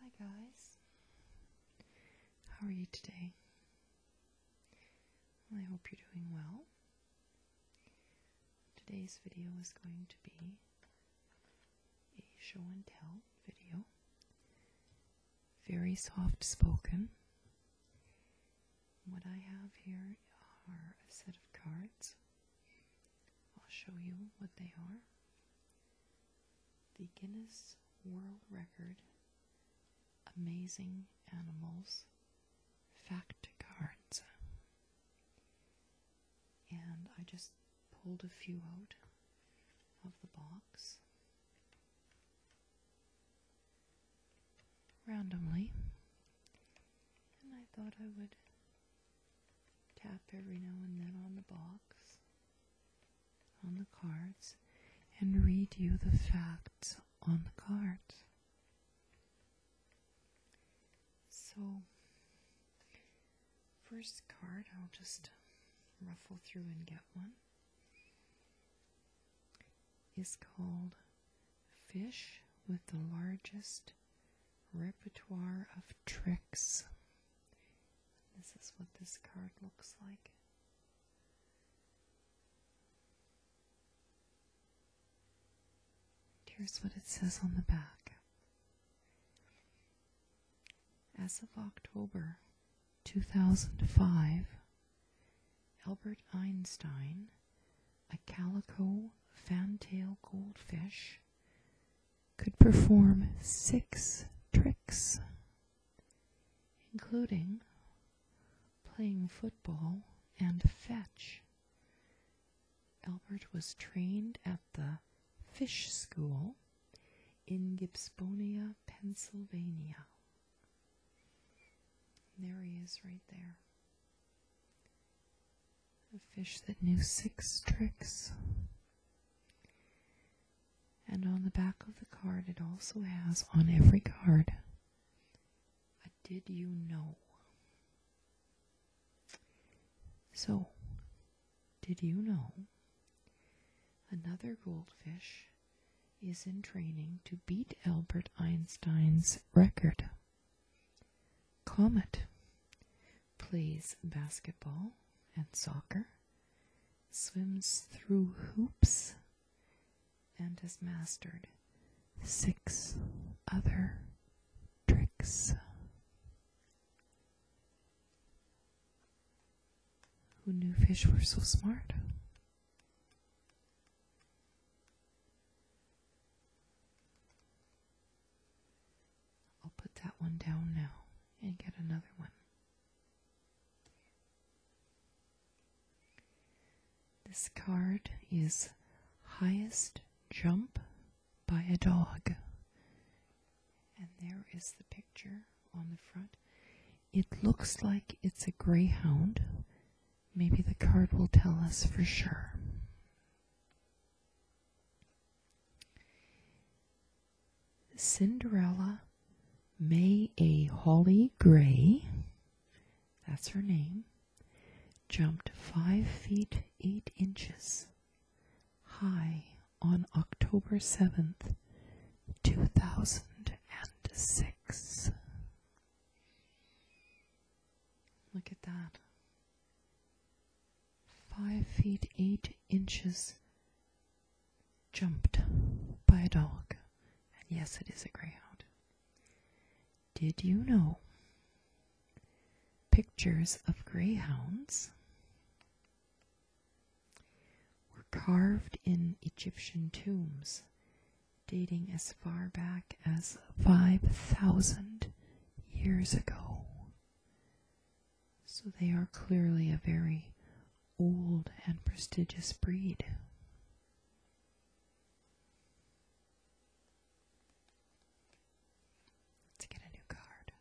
Hi guys, how are you today? I hope you're doing well. Today's video is going to be a show and tell video very soft spoken. What I have here are a set of cards. I'll show you what they are. The Guinness World Record Amazing Animals Fact Cards. And I just pulled a few out of the box randomly. And I thought I would tap every now and then on the box, on the cards, and read you the facts on the cards. So, first card, I'll just ruffle through and get one is called Fish with the Largest Repertoire of Tricks. This is what this card looks like. Here's what it says on the back. As of October 2005, Albert Einstein, a calico fantail goldfish, could perform six tricks, including playing football and fetch. Albert was trained at the Fish School in Gibsonia, Pennsylvania there he is right there. A fish that knew six tricks. And on the back of the card, it also has on every card a did you know? So, did you know another goldfish is in training to beat Albert Einstein's record. Comet plays basketball and soccer, swims through hoops, and has mastered six other tricks. Who knew fish were so smart? I'll put that one down now and get another one. This card is Highest Jump by a Dog. And there is the picture on the front. It looks like it's a greyhound. Maybe the card will tell us for sure. Cinderella May A. Holly Gray, that's her name, jumped 5 feet 8 inches high on October 7th, 2006. Look at that. Five feet eight inches jumped by a dog. And yes, it is a greyhound. Did you know pictures of greyhounds were carved in Egyptian tombs dating as far back as 5,000 years ago. So they are clearly a very old and prestigious breed. Let's get a new card.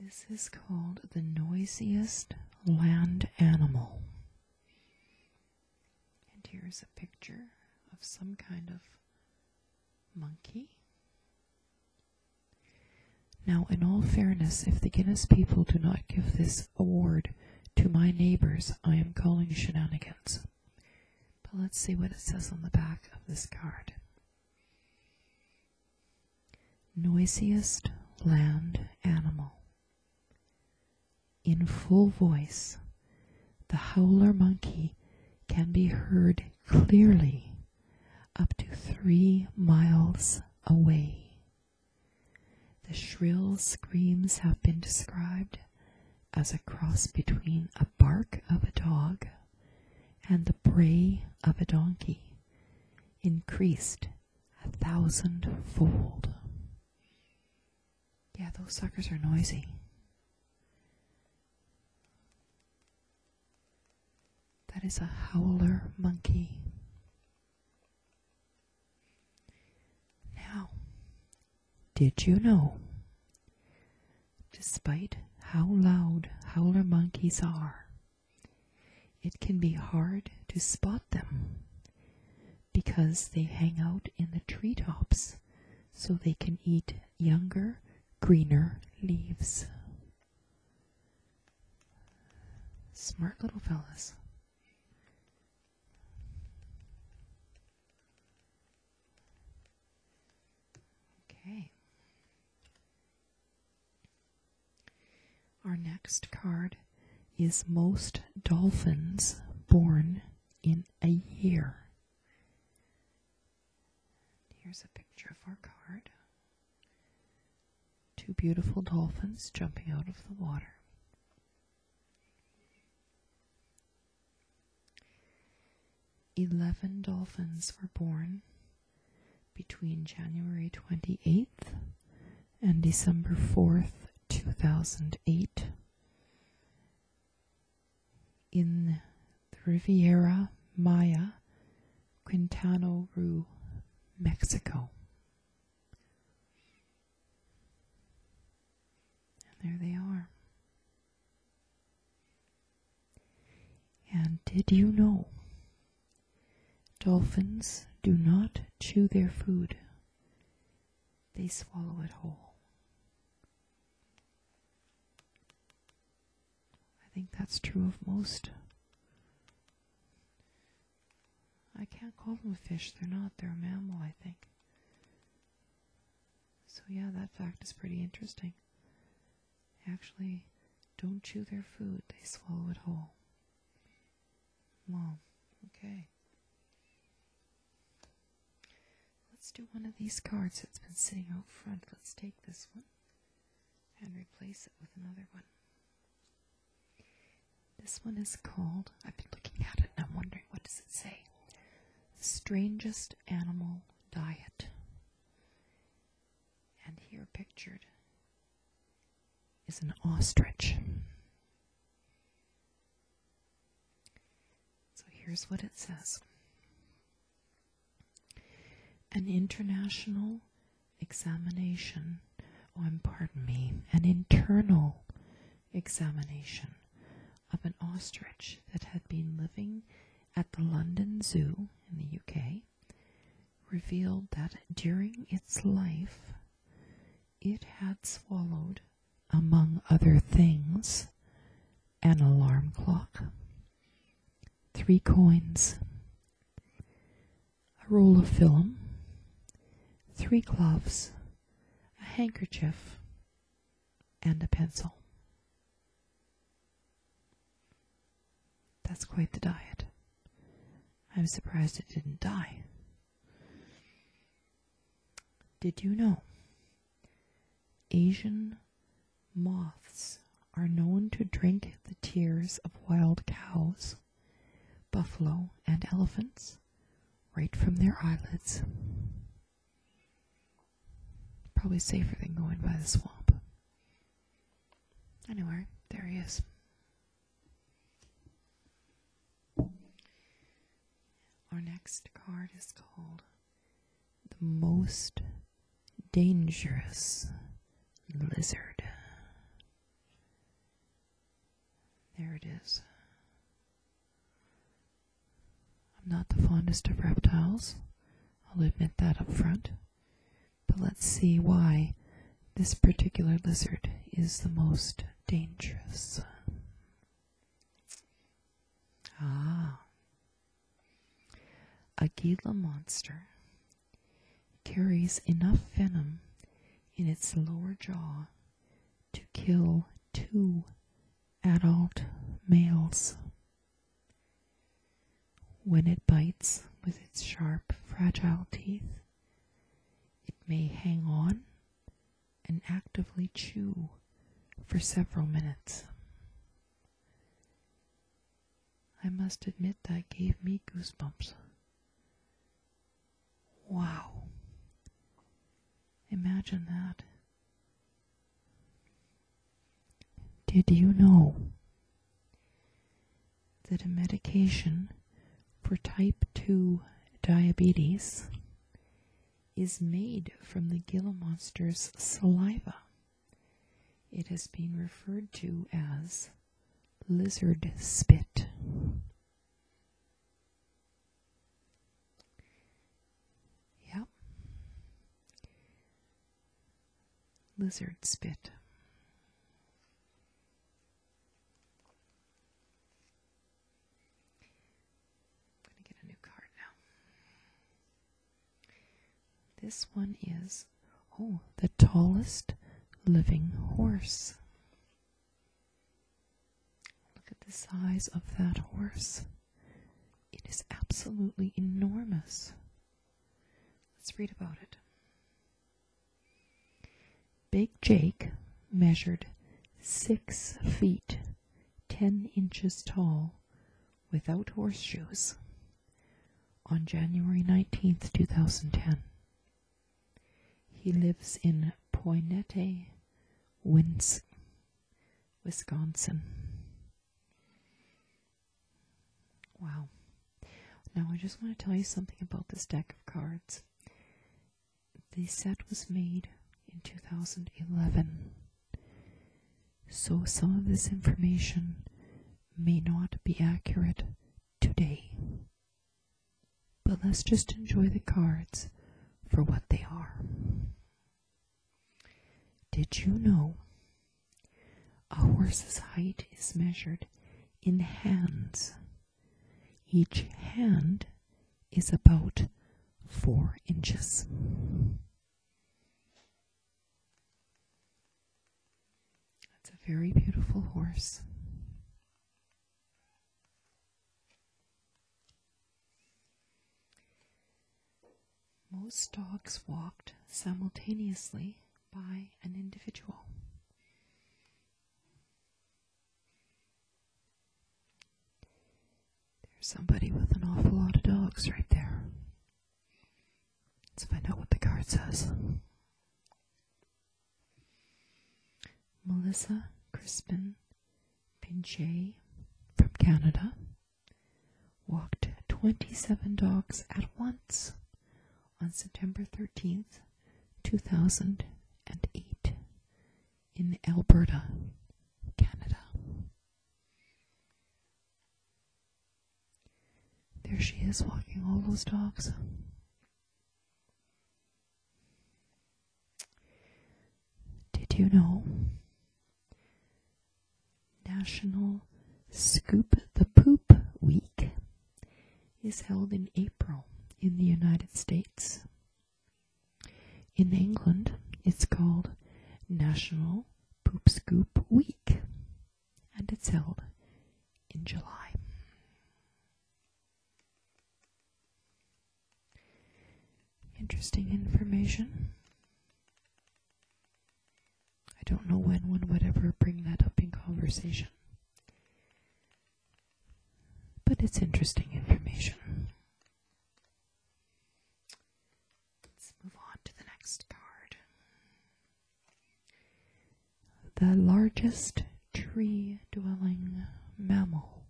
This is called the noisiest land animal. And here's a picture of some kind of monkey. Now, in all fairness, if the Guinness people do not give this award to my neighbors, I am calling shenanigans. But let's see what it says on the back of this card. Noisiest land animal. In full voice, the howler monkey can be heard clearly up to three miles away. The shrill screams have been described as a cross between a bark of a dog and the bray of a donkey increased a thousandfold. Yeah, those suckers are noisy. That is a howler monkey. Now, did you know despite how loud howler monkeys are. It can be hard to spot them because they hang out in the treetops so they can eat younger, greener leaves. Smart little fellows. Okay. Our next card is most dolphins born in a year. Here's a picture of our card. Two beautiful dolphins jumping out of the water. Eleven dolphins were born between January 28th and December 4th, 2008, in the Riviera Maya, Quintana Roo, Mexico. And there they are. And did you know? Dolphins do not chew their food, they swallow it whole. I think that's true of most. I can't call them a fish, they're not, they're a mammal, I think. So, yeah, that fact is pretty interesting. actually don't chew their food, they swallow it whole. Mom, okay. Let's do one of these cards that's been sitting out front. Let's take this one and replace it with another one. This one is called, I've been looking at it and I'm wondering what does it say? strangest animal diet. And here pictured is an ostrich. So here's what it says An international examination, oh, pardon me, an internal examination of an ostrich that had been living at the London Zoo in the UK revealed that during its life it had swallowed, among other things, an alarm clock, three coins, a roll of film, three gloves, a handkerchief, and a pencil. That's quite the diet. I'm surprised it didn't die. Did you know Asian moths are known to drink the tears of wild cows, buffalo, and elephants right from their eyelids? Probably safer than going by the swamp. Anyway, there he is. Our next card is called The Most Dangerous Lizard. There it is. I'm not the fondest of reptiles, I'll admit that up front, but let's see why this particular lizard is the most dangerous. Ah, a Gila monster carries enough venom in its lower jaw to kill two adult males. When it bites with its sharp, fragile teeth, it may hang on and actively chew for several minutes. I must admit that gave me goosebumps. Wow. Imagine that. Did you know that a medication for type 2 diabetes is made from the gila monster's saliva? It has been referred to as lizard spit. Yep. Lizard spit. I'm going to get a new card now. This one is, oh, the tallest living horse. Look at the size of that horse. It is absolutely enormous. Let's read about it. Big Jake measured six feet ten inches tall without horseshoes on January 19th, 2010. He lives in Poinette, Wins- Wisconsin. Wow. Now, I just want to tell you something about this deck of cards. The set was made in 2011, so some of this information may not be accurate today. But let's just enjoy the cards for what they are. Did you know a horse's height is measured in hands? Each hand is about four inches. That's a very beautiful horse. Most dogs walked simultaneously by an individual. There's somebody with an awful lot of dogs right there. Let's find out what the card says. Melissa Crispin Pinche from Canada walked 27 dogs at once on September 13th, 2008 in Alberta, Canada. There she is walking all those dogs. Did you know? National Scoop the Poop Week is held in April in the United States. In England, it's called National Poop Scoop Week, and it's held in July. Interesting information. I don't know when one would ever bring that up in conversation. But it's interesting information. Let's move on to the next card. The largest tree dwelling mammal.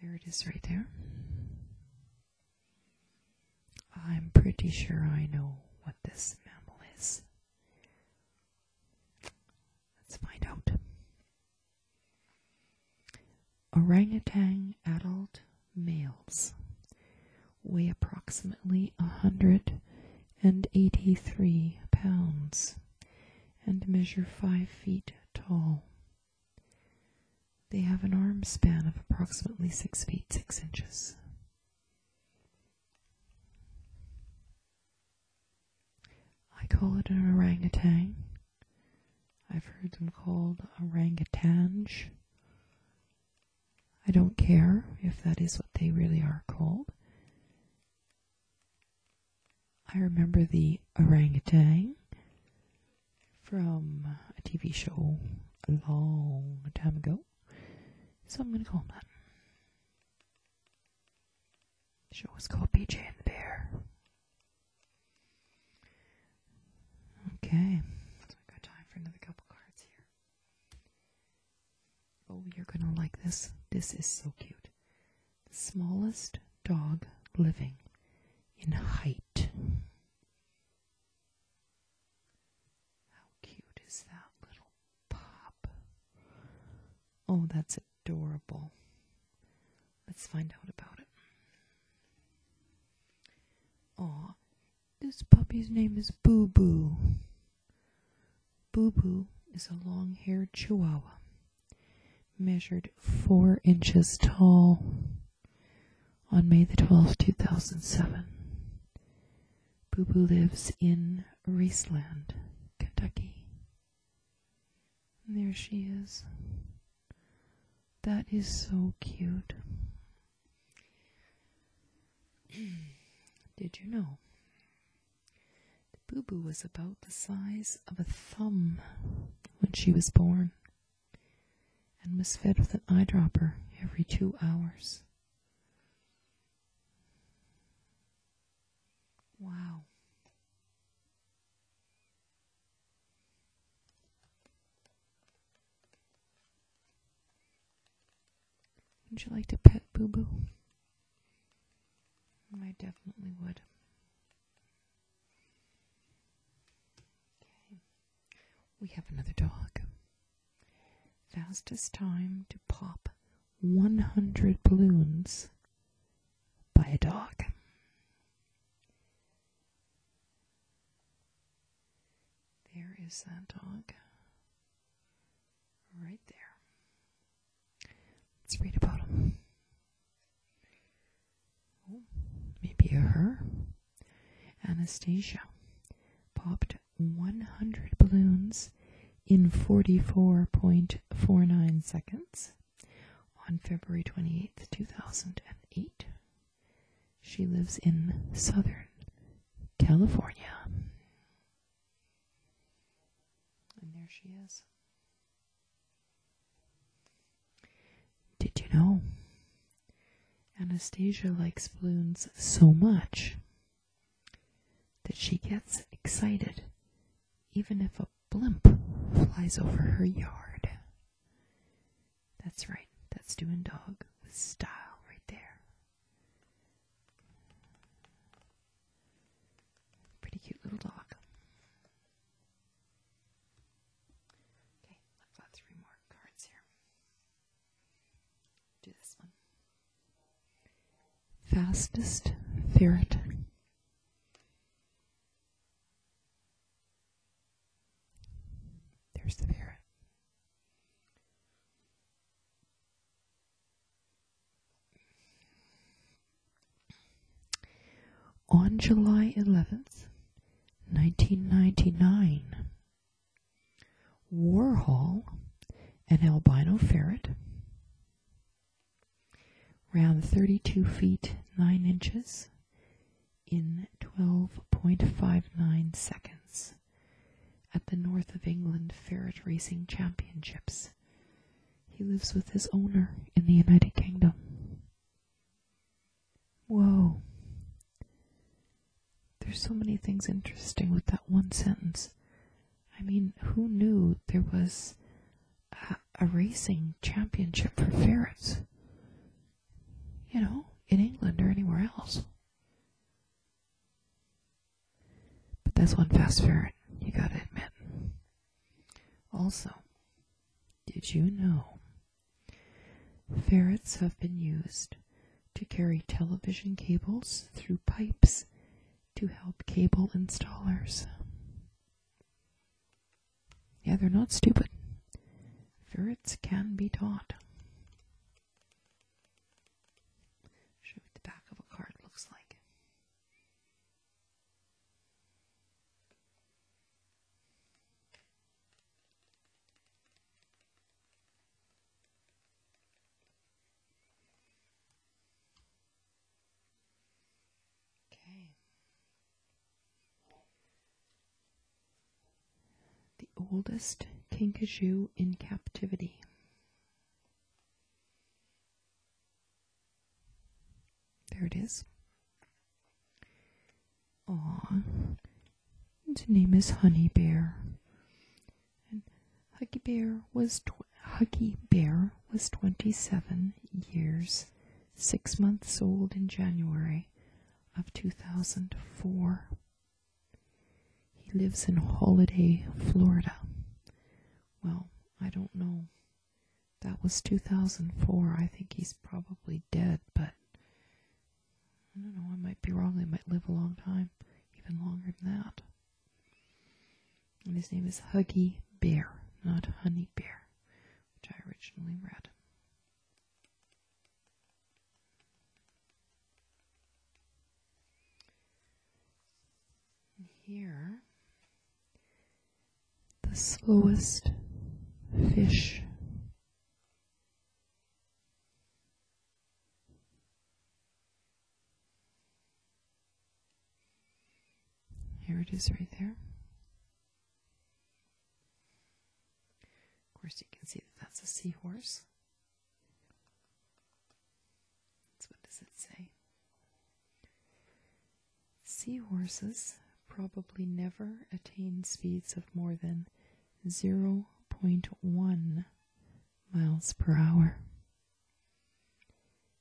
There it is right there. I'm pretty sure I know what this mammal is. Let's find out. Orangutan adult males weigh approximately 183 pounds and measure 5 feet tall. They have an arm span of approximately 6 feet 6 inches. I call it an orangutan. I've heard them called orangutange I don't care if that is what they really are called. I remember the orangutan from a TV show a long time ago, so I'm going to call him that. show was called BJ and the Bear. Okay, so we've time for another couple cards here. Oh, you're gonna like this. This is so cute. The smallest dog living in height. How cute is that little pup? Oh, that's adorable. Let's find out about it. Aw, this puppy's name is Boo Boo. Boo Boo is a long haired chihuahua, measured four inches tall on May the 12th, 2007. Boo Boo lives in Raceland, Kentucky. And there she is. That is so cute. Did you know? The boo boo was about the size of a thumb when she was born and was fed with an eyedropper every two hours. Wow. Would you like to pet Boo Boo? I definitely would. We have another dog. Fastest time to pop 100 balloons by a dog. There is that dog. Right there. Let's read about him. Oh, maybe a her. Anastasia popped 100 balloons in 44.49 seconds on February twenty-eighth, two 2008. She lives in Southern California. And there she is. Did you know? Anastasia likes balloons so much that she gets excited even if a blimp flies over her yard. That's right. That's doing dog with style right there. Pretty cute little dog. Okay, I've got three more cards here. Do this one. Fastest ferret. There's the ferret. On July 11th, 1999, Warhol, an albino ferret, around 32 feet 9 inches, in 12.59 seconds at the North of England Ferret Racing Championships. He lives with his owner in the United Kingdom. Whoa. There's so many things interesting with that one sentence. I mean, who knew there was a, racing championship for ferrets? You know, in England or anywhere else. But that's one fast ferret, you gotta admit. Also, did you know ferrets have been used to carry television cables through pipes to help cable installers? Yeah, they're not stupid. Ferrets can be taught. Show what the back of a card looks like. Okay. The oldest kinkajou in captivity. There it is. Aw. Its name is Honey Bear. And Huggy Bear was Huggy Bear was 27 years, six months old in January of 2004. He lives in Holiday, Florida. Well, I don't know. That was 2004. I think he's probably dead, but I don't know. I might be wrong. They might live a long time, even longer than that. his name is Huggy Bear, not Honey Bear, which I originally read here, the slowest fish. Here it is right there. Of course, you can see that that's a seahorse. So what does it say? Seahorses probably never attain speeds of more than 0.1 miles per hour.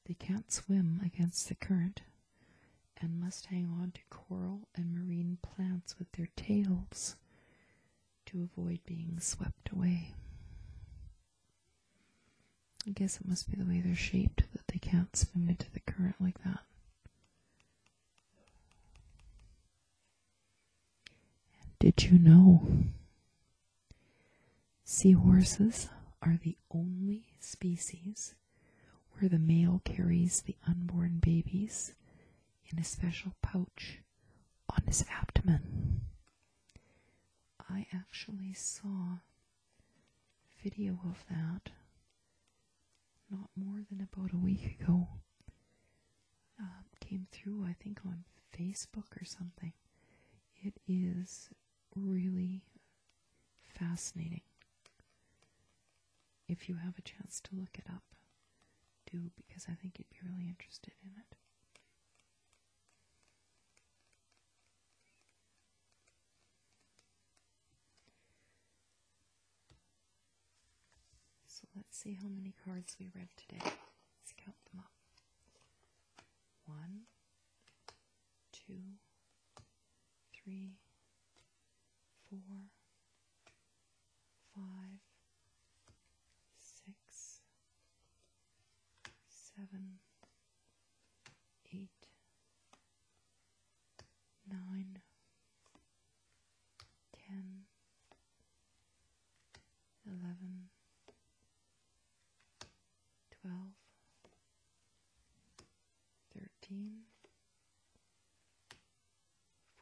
They can't swim against the current and must hang on to coral and marine plants with their tails to avoid being swept away. I guess it must be the way they're shaped that they can't swim into the current like that. did you know seahorses are the only species where the male carries the unborn babies in a special pouch on his abdomen. I actually saw video of that not more than about a week ago. Uh, came through, I think, on Facebook or something. It is really fascinating if you have a chance to look it up, do because I think you'd be really interested in it. So let's see how many cards we read today. Let's count them up. One, two, three, four, five, six, seven, eight, nine, ten, eleven, twelve, thirteen,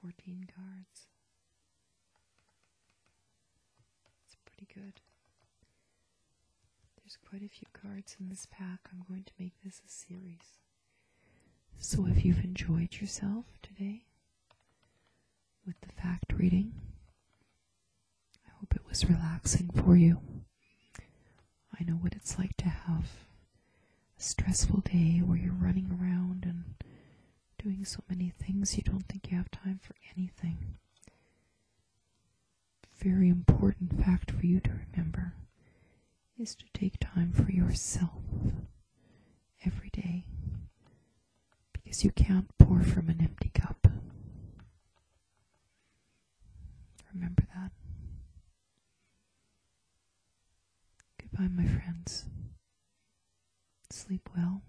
14 cards. It's pretty good. There's quite a few cards in this pack. I'm going to make this a series. So if you've enjoyed yourself today with the fact reading, I hope it was relaxing for you. I know what it's like to have a stressful day where you're running around and doing so many things you don't think you have time for anything. Very important fact for you to remember is to take time for yourself every day because you can't pour from an empty cup. Remember that. Goodbye, my friends. Sleep well,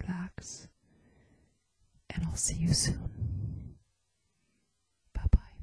relax, and I'll see you soon. Bye bye.